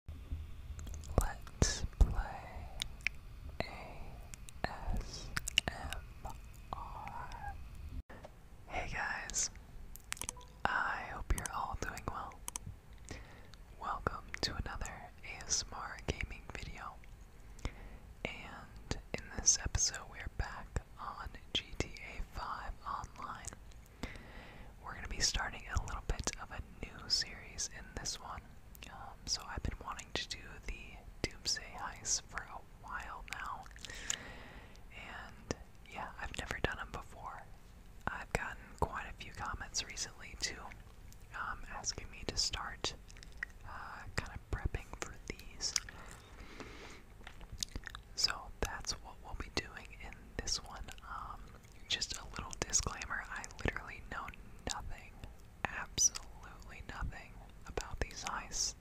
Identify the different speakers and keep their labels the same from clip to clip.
Speaker 1: Hey guys, I hope you're all doing well. Welcome to another ASMR gaming video. And in this episode, we're back on GTA 5 Online. We're going to be starting a little bit of a new series in this one. Um, so I've been wanting to do the Doomsday Heist for a while now. And yeah, I've never done them before. I've gotten quite a few comments recently too, um, asking me to start uh, kind of prepping for these. So that's what we'll be doing in this one. Um, just a little disclaimer I literally know nothing, absolutely nothing about these eyes.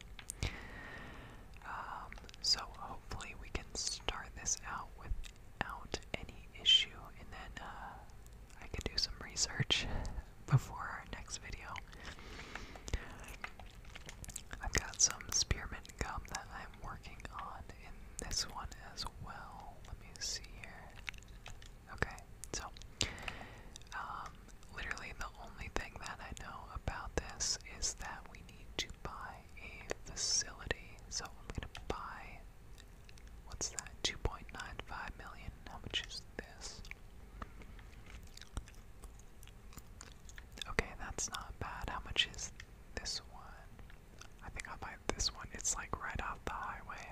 Speaker 1: Um, so hopefully we can start this out without any issue, and then uh, I can do some research before our next video. I've got some spearmint gum that I'm working on in this one as well. Let me see here. Okay, so um, literally the only thing that I know about this is that we need to buy a facility. So I'm going to buy, what's that, 2.95 million. How much is this? Okay, that's not bad. How much is this one? I think I'll buy this one. It's like right off the highway.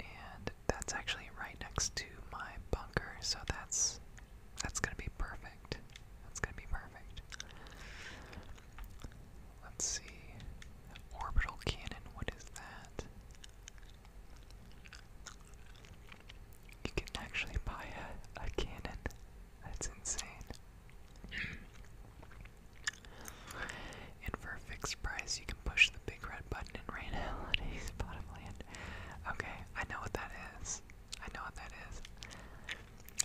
Speaker 1: And that's actually right next to my bunker, so that's that's gonna be perfect. That's gonna be perfect. Let's see. Orbital cannon, what is that? You can actually buy a, a cannon. That's insane. and for a fixed price, you can push the big red button and rain holidays, Okay, I know what that is. I know what that is.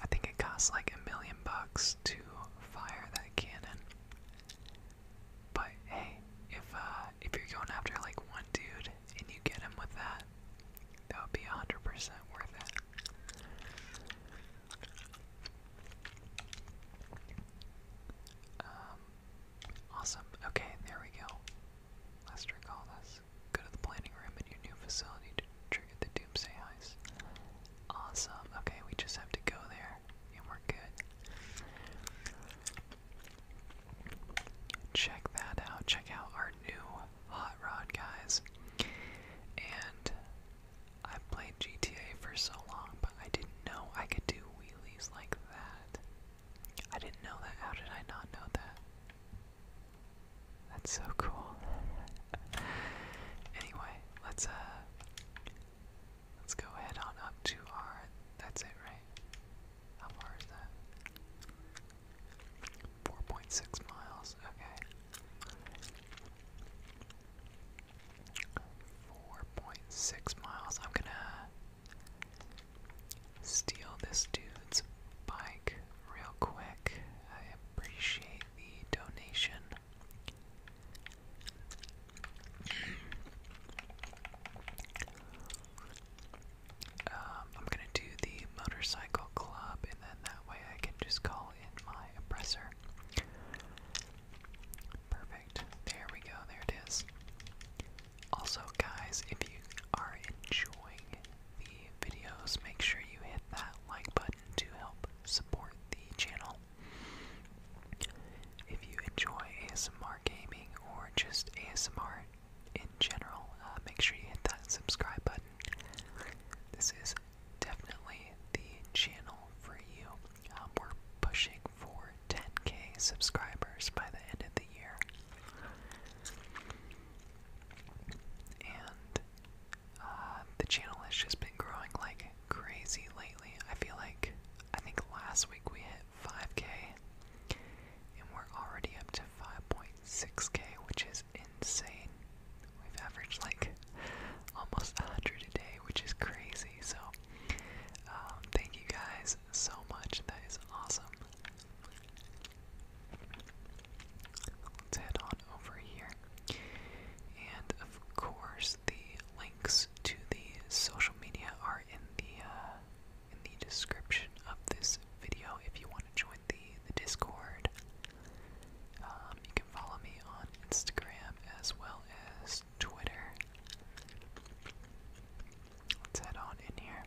Speaker 1: I think it costs like a million bucks to fire that cannon. But hey, if uh, if you're going after like one dude and you get him with that, that would be 100% worth it. Um, awesome. Okay, there we go. Let's recall this. Go to the planning room in your new facility to trigger the doomsday heist. Awesome. Okay, we just have to go there, and we're good. Check that out. Check out our new hot rod, guys. And I played GTA for so long, but I didn't know I could do wheelies like that. I didn't know that. How did I not know that? That's so cool. anyway, let's uh let's go ahead on up to our that's it, right? How far is that? 4.6 miles, okay. 4.6 miles. I'm gonna steal this dude's bike real quick. I appreciate the donation. Um, I'm gonna do the motorcycle club, and then that way I can just call in my oppressor. Perfect. There we go. There it is. Also, guys, if you are enjoying the videos, make sure you hit that like button to help support the channel. If you enjoy ASMR gaming or just ASMR in general, uh, make sure you hit that subscribe button. This is definitely the channel for you. Um, we're pushing for 10k subscribers by the end of the year. And uh, the channel has just been growing like crazy lately. I feel like, I think last week we hit 5k, and we're already up to 5.6k, which is insane. We've averaged like almost 100 a day, which is crazy. So, um, thank you guys so much. That is awesome. Let's head on over here. And of course, the links to the social media are in the uh, in the description of this video if you want to join the, the Discord. Um, you can follow me on Instagram as well as Twitter. Let's head on in here.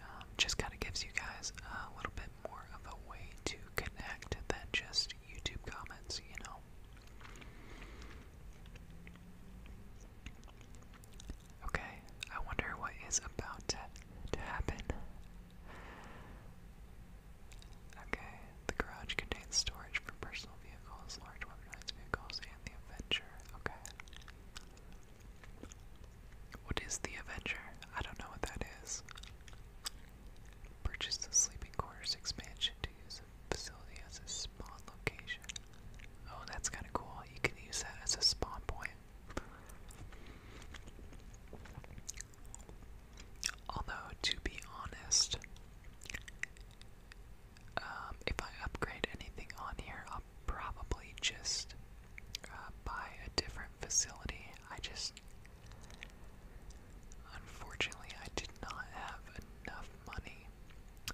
Speaker 1: Um, just kind of gives you guys a little bit more of a way to connect than just YouTube comments, you know. Okay, I wonder what is about to, happen. Okay, the garage contains storage for personal vehicles, large weaponized vehicles, and the Avenger. Okay. What is the Avenger? I don't know what that is. Purchase the sleeping quarters expansion to use the facility as a spawn location. Oh, that's kind of cool. You can use that as a spawn point. Although, to be honest, um, if I upgrade anything on here, I'll probably just uh, buy a different facility. I just. Unfortunately, I did not have enough money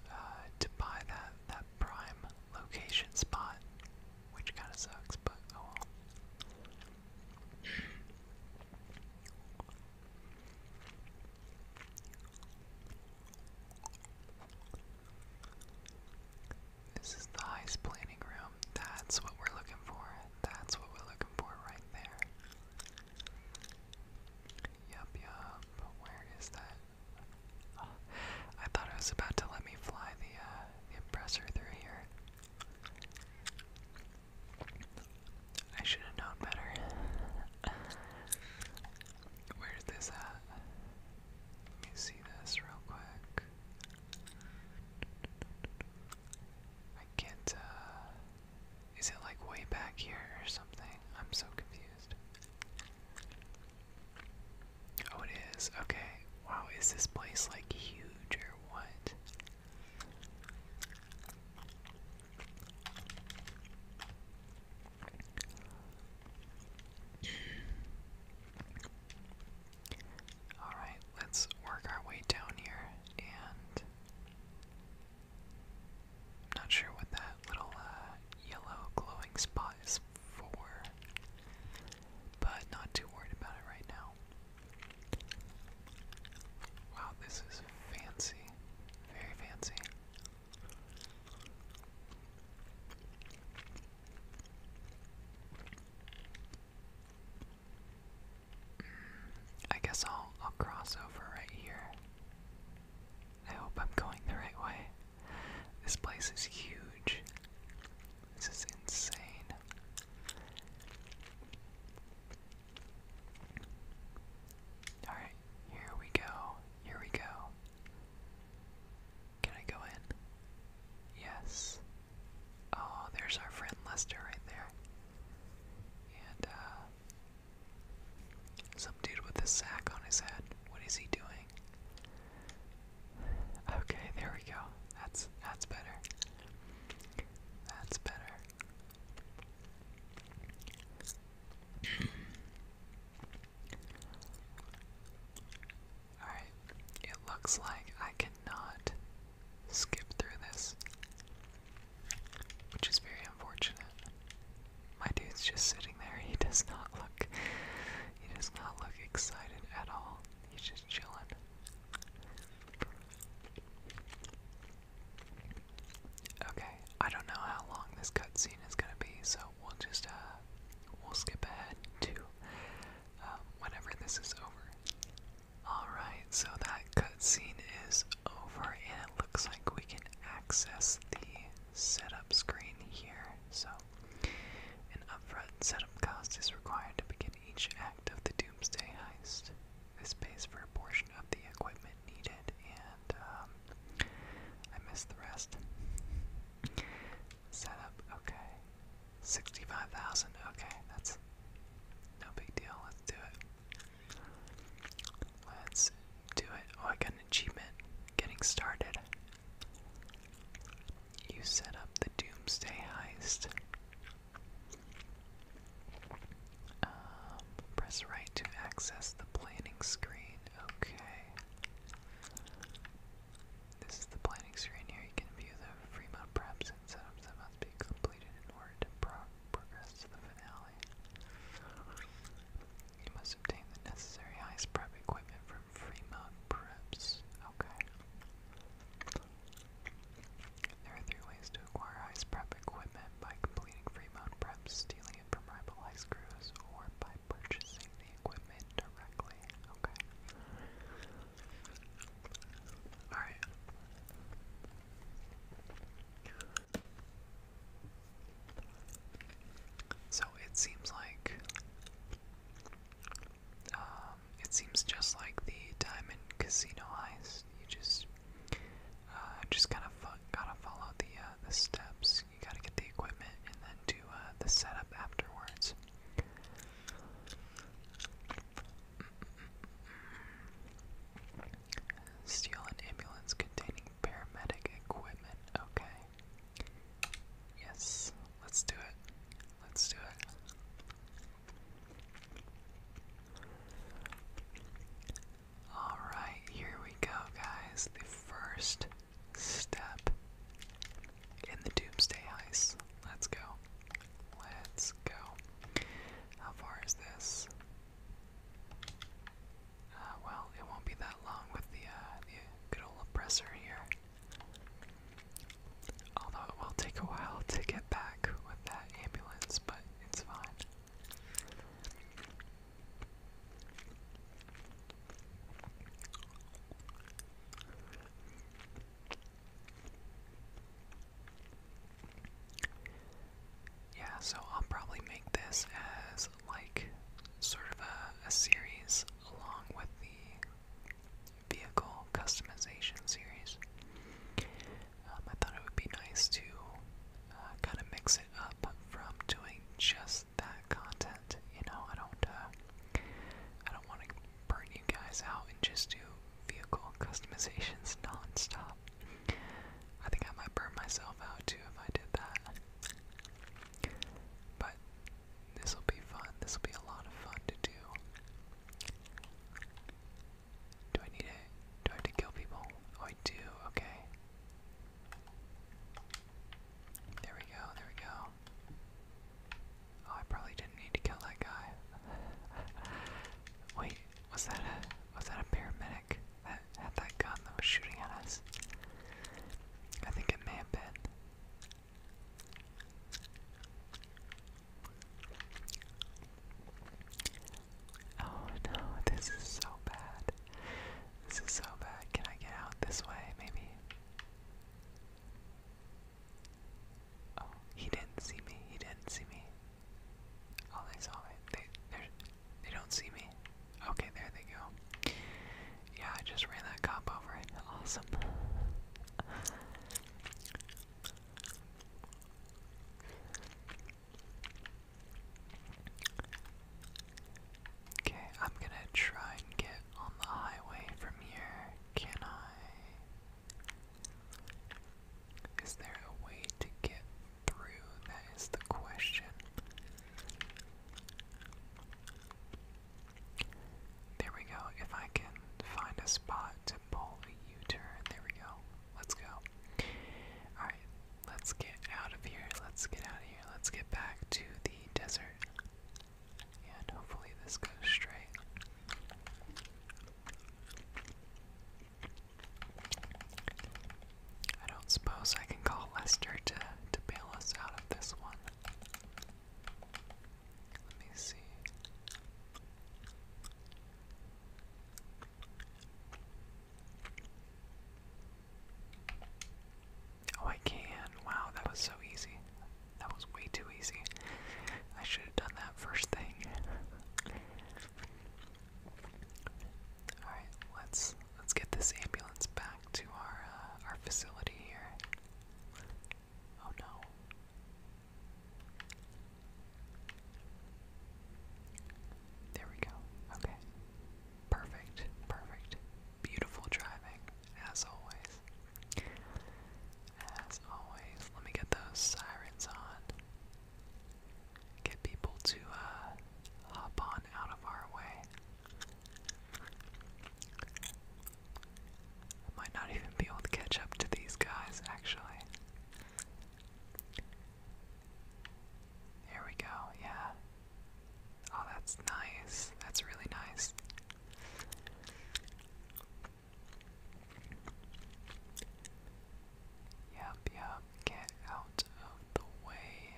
Speaker 1: uh, to buy that prime location spot, which kind of sucks, but oh well. This is the heist planning room. That's what we're looking for. That's what we're looking for right there. Yup, yup. Where is that? I thought it was about to let me fly the, uh, impressor through here. I should have known better. Where's this at? Let me see this real quick. I can uh, Is it like way back here or something? I'm so confused. Oh, it is. Okay. Wow, is this place like huge or what? Alright, let's work our way down here and. I'm not sure what that little uh, yellow glowing spot is four, but not too worried about it right now. Wow, this is fancy, very fancy. Mm, I guess I'll I'll cross over right here. I hope I'm going the right way. This place is huge. This is insane. Alright, here we go. Here we go. Can I go in? Yes. Oh, there's our friend Lester right there. And, uh, some dude with a sack on his head. What is he doing? Okay, there we go. That's that's better. That's better. Alright, it looks like I cannot skip through this, which is very unfortunate. My dude's just sitting there, he does not look he does not look excited at all. He's just chilling. Okay, I don't know how long this cutscene is gonna be, so we'll just uh we'll skip ahead to um, whenever this is over. Alright, so that cutscene is over and it looks like we can access the setup screen here. So an upfront setup cost is required to begin each act of the Doomsday heist. This pays for a portion of the equipment needed, and um, I missed the rest. Setup, okay. 65,000, okay, that's no big deal. Let's do it. Let's do it. Oh, I got an achievement. Getting started. You set up the doomsday heist. Um, press right to access the planning screen. Okay. This is the planning screen here. You can view the Fremont preps and setups that must be completed in order to progress to the finale. You must obtain the necessary heist prep equipment from Fremont Preps. Okay. There are three ways to acquire ice prep equipment by completing Fremont Preps, stealing it from rival ice crews, or by purchasing the equipment directly. Okay. Alright. So it seems like um, it seems just like the Diamond Casino heist. You just uh, just kind of fo gotta follow the uh, the steps. You gotta get the equipment and then do uh, the setup afterwards. Steal an ambulance containing paramedic equipment. Okay. Yes, let's do it. Let's do it. Alright, here we go, guys. The first step in the Doomsday Heist. Let's go. Let's go. How far is this? Uh, well, it won't be that long with the, uh, the Good old oppressor here. Although it will take a while to get back with that ambulance, but it's fine. Yeah, so I'll probably make this as like sort of a, series along with the vehicle customization series. Um, I thought it would be nice to uh, kind of mix it up from doing just that content. You know, I don't, uh, I don't want to burn you guys out and just do vehicle customizations non-stop. I think I might burn myself out too if I did that. But this will be fun. This will be a lot of fun to do. Do I need it? Do I have to kill people? Oh, I do. Okay. There we go. There we go. Oh, I probably didn't need to kill that guy. Wait, was that a was that a paramedic that had that gun that was shooting at us? I think it may have been. Oh no, this is so bad. This is so bad. Can I get out this way, maybe? Oh, he didn't see me. He didn't see me. Oh, they saw me. They, they don't see me. Okay, there they go. Yeah, I just ran that cop over it. Awesome. Okay, I'm gonna try and get on the highway from here. Can I? Is there a way to get through? That is the question. There we go. If I can find a spot to pull a U-turn, there we go. Let's go. Alright, let's get out of here. Let's get out of here. Let's get back to the desert. And hopefully this goes straight. I don't suppose I can call Lester to to bail us out of this one. Let me see. Oh, I can. Wow, that was so easy. That was way too easy. I should have done that first thing. Alright, let's let's get this ambulance back to our uh, our facility here. Oh no. There we go. Okay. Perfect. Perfect. Beautiful driving, as always. As always, let me get those sirens on. Get people to uh, hop on out of our way might not even be able to catch up to these guys, actually. Here we go, yeah. Oh, that's nice. That's really nice. Yep, yep. Get out of the way,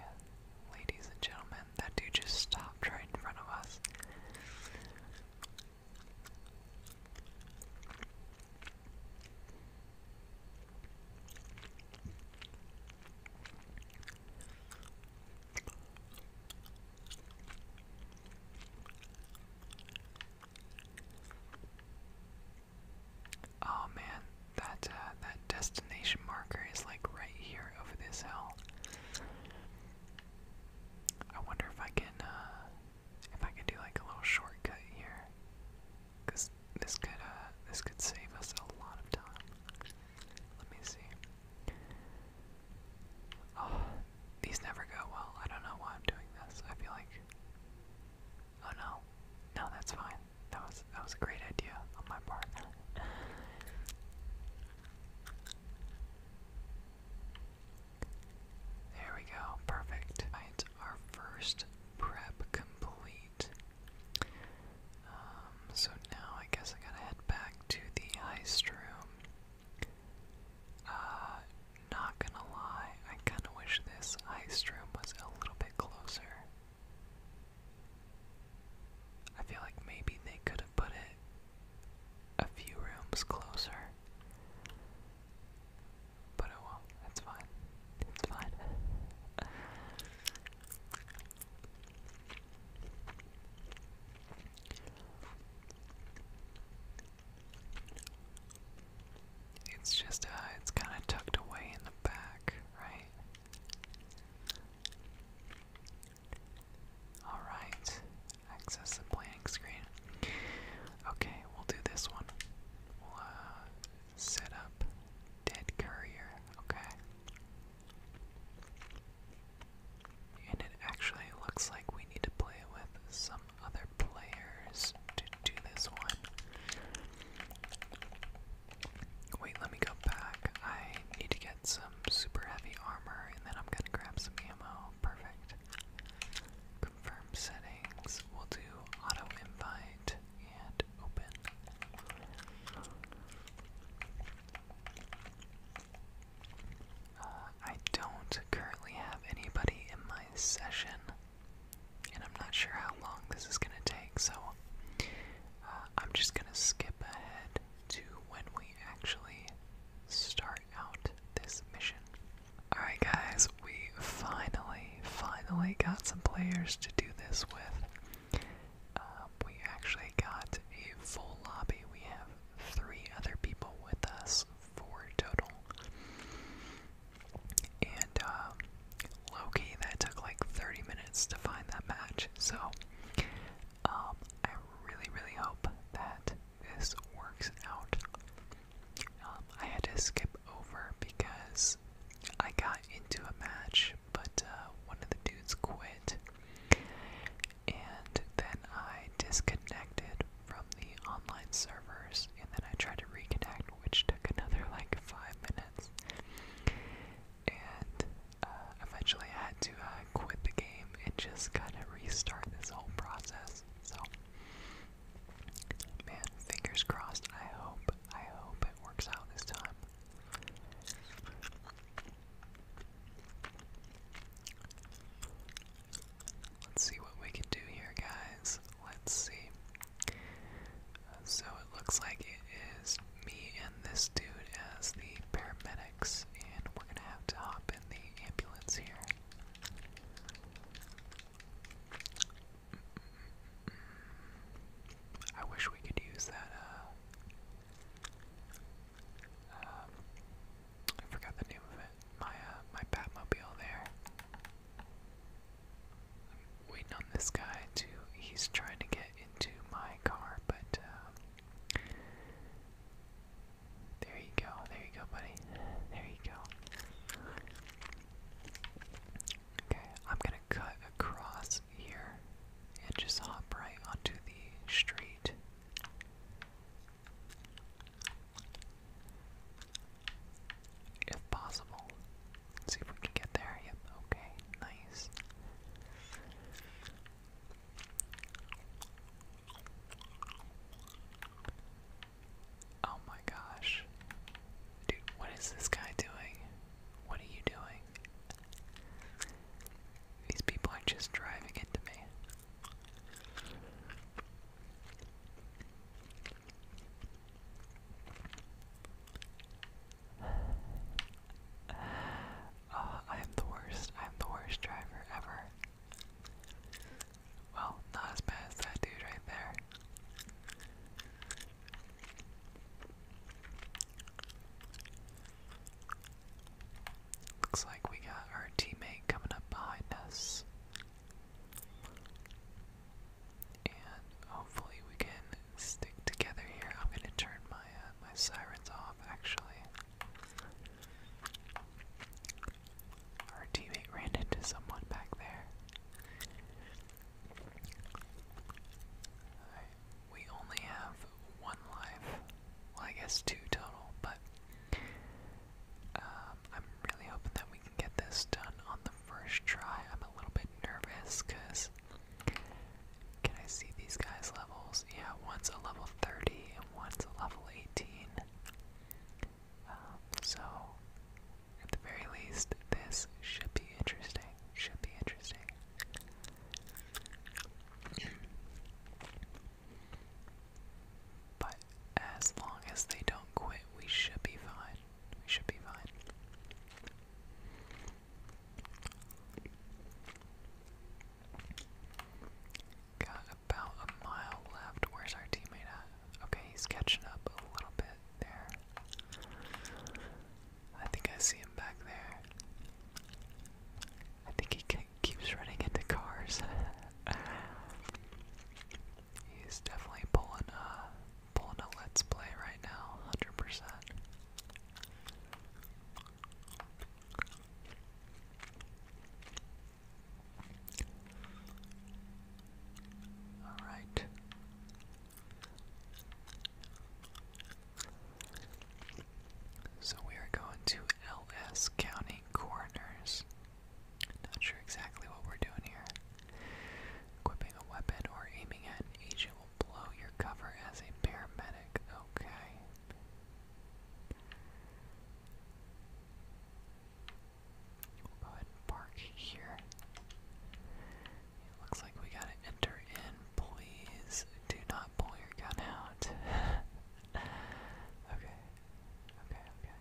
Speaker 1: ladies and gentlemen that dude just stopped right in front of us. Oh man, that uh, that destination marker is like right here over this hill. I wonder if I can, uh, if I can do like a little shortcut here, cause this could, uh, this could save us a lot of time. Let me see. Oh, these never go well. I don't know why I'm doing this. I feel like, oh no, no, that's fine. That was that was a great idea on my part. There we go, perfect. our first prep complete. Um, so now I guess I gotta head back to the heist room. Uh, not gonna lie, I kinda wish this ice room was a little bit closer. I feel like maybe they could have put it a few rooms closer. But oh well, that's fine. It's fine. It's just, uh, it's kind of tucked away in the back, right? Alright, access the playing screen. Okay, we'll do this one. We'll uh, set up Dead Courier, okay? And it actually looks like we need to play with some other players to do this one. Wait, let me go back. I need to get some super heavy armor, and then I'm gonna grab some ammo. Perfect. Confirm settings. We'll do auto invite and open. Uh, I don't currently have anybody in my session, and I'm not sure how long this is gonna take, so uh, I'm just gonna skip ahead to when we actually start out this mission. Alright, guys, we finally, finally got some players to do this with. Um, we actually got a full lobby. We have three other people with us, four total. And, um, Loki, that took like 30 minutes to find that match. So, um, I really, really hope that this works out. Um, I had to skip over because I got into a match, but uh, one of the dudes quit, and then I disconnected from the online servers, and then I tried to reconnect, which took another like five minutes and uh, eventually I had to uh, quit the game and just kind of restart this whole process. So, man, fingers crossed. I hope, I hope it works out this time. Let's see what we can do here, guys. Let's see. Uh, so it looks like it is me and this dude as the paramedics, and we're gonna have to hop in the ambulance here. I wish we could use that, uh, um, I forgot the name of it, my, uh, my Batmobile there. waiting on this guy to, he's trying to get into my car, but, uh, there you go, there you go, buddy. There you go. Okay, I'm gonna cut across here and just hop right onto the street. If possible. see if we can get there. Yep, okay, nice. Oh my gosh. Dude, what is this guy doing? What are you doing? These people are just driving into me. Uh, I am the worst. I am the worst driver ever. Well, not as bad as that dude right there. Looks like we got our teammate coming up behind us. And hopefully we can stick together here. I'm gonna turn my uh, my sirens off actually. Our teammate ran into someone back there. we only have one life. Well, I guess two total, but um, I'm really hoping that we can get this done on the first try. I'm a little bit nervous because can I see these guys' levels? Yeah, one's a level 30 and one's a level 18. Um, so, at the very least, this should be interesting. Should be interesting. but as long as they don't quit, we should be fine. We should be fine. Got about a mile left. Where's our teammate at? Okay, he's catching up a little bit there. I think I see him back there. I think he keeps running into cars. He's definitely pulling a pulling a let's play right now, hundred percent. All right. So we are going to LS County Corners. Not sure exactly what we're doing here. Equipping a weapon or aiming at agent will blow your cover as a paramedic. Okay, go ahead park here. looks like we gotta enter in. Please do not pull your gun out. okay. Okay, okay.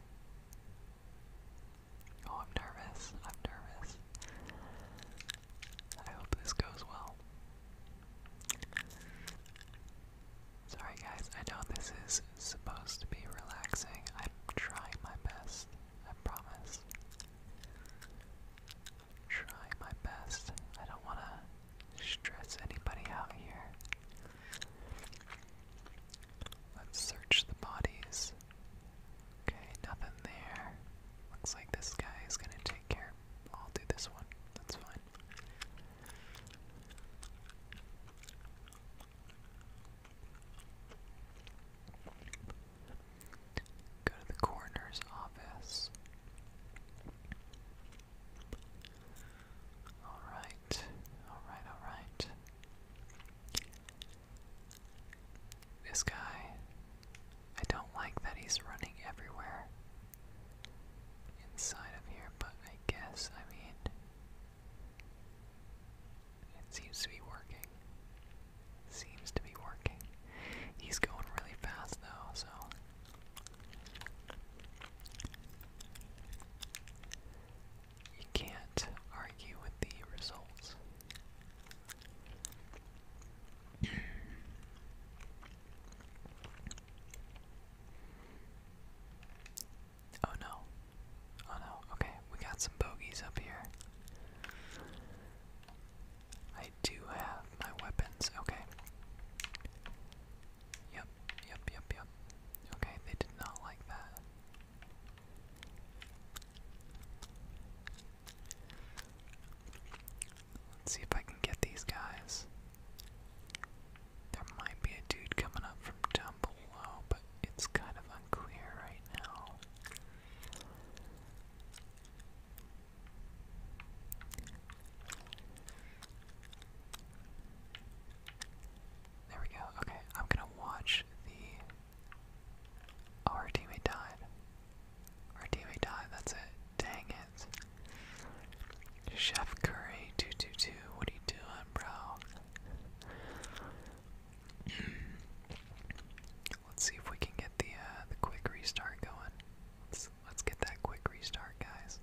Speaker 1: Oh, I'm nervous. I'm nervous. I hope this goes well. Sorry, guys, I know this is supposed to be relaxing. I'm trying my best, I promise. i my best. I don't want to stress anybody out here. Let's search the bodies. Okay, nothing there. Looks like this guy is gonna take care. I'll do this one. That's fine. Go to the coroner's office. Alright, alright, alright. This guy, I don't like that he's running everywhere inside of here, but I guess, I mean, it seems to be working. Seems to be working. He's going really fast though, so. You can't argue with the results. Oh no. Oh no. Okay, we got some bogeys up here. I do have my weapons. Okay. Yep, yep, yep, yep. Okay, they did not like that. Let's see if I can get these guys. There might be a dude coming up from down below, but it's kind of unclear right now. There we go. Okay, I'm gonna watch the. Oh, our teammate died. Our teammate died, that's it. Dang it. Chef Curry222, what are you doing, bro? Let's see if we can get the uh, the quick restart going. Let's let's get that quick restart, guys.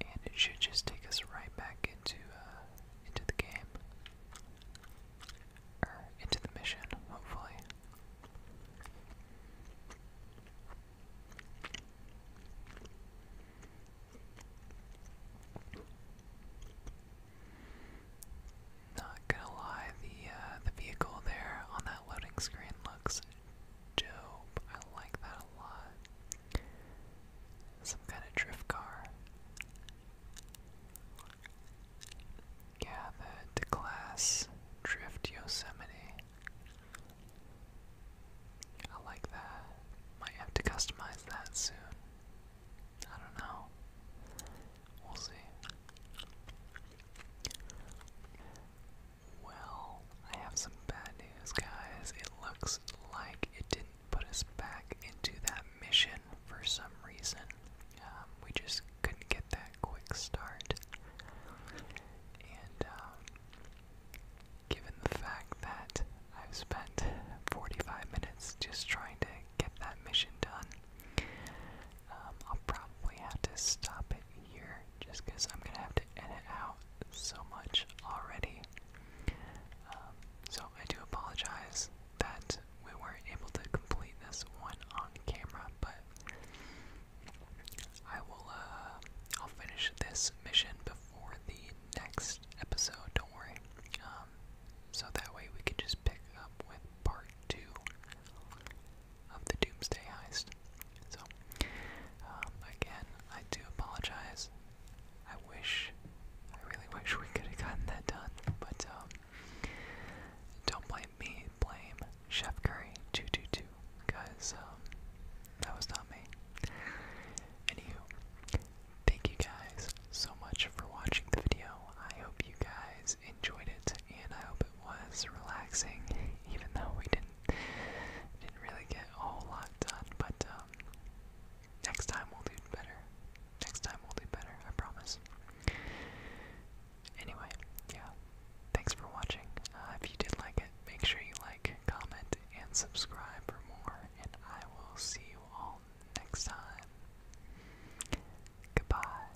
Speaker 1: And it should just take us right back into uh, into the game. Or into the mission, hopefully. Not gonna lie, the uh, the vehicle there on that loading screen looks dope. I like that a lot. Some kind of drift car. Yeah, the, the Drift Yosemite. I like that. Might have to customize that soon. I don't know. We'll see. Well, I have some bad news, guys. It looks like it didn't put us back into that mission for some reason. Um, we just couldn't get that quick start. And um, given the fact that I've spent 45 minutes just trying to get that mission done, um, I'll probably have to stop it here just because I'm going to have to edit out so much already. Um, so I do apologize that we weren't able to complete this one on camera, but I will, uh, I'll finish this mission before the next episode, don't worry. Um, so that way we can just pick up with part two of the Doomsday Heist. So, um, again, I do apologize. I wish, I really wish we could have gotten that done, but um, don't blame me, blame Chef Curry 222, because um, that was not me. Anywho, thank you guys so much for watching the video. I hope you guys enjoyed it and I hope it was relaxing, even though we didn't didn't really get a whole lot done. But um, next time we'll do better. Next time we'll do better. I promise. Anyway, yeah. Thanks for watching. Uh, if you did like it, make sure you like, comment, and subscribe for more. And I will see you all next time. Goodbye.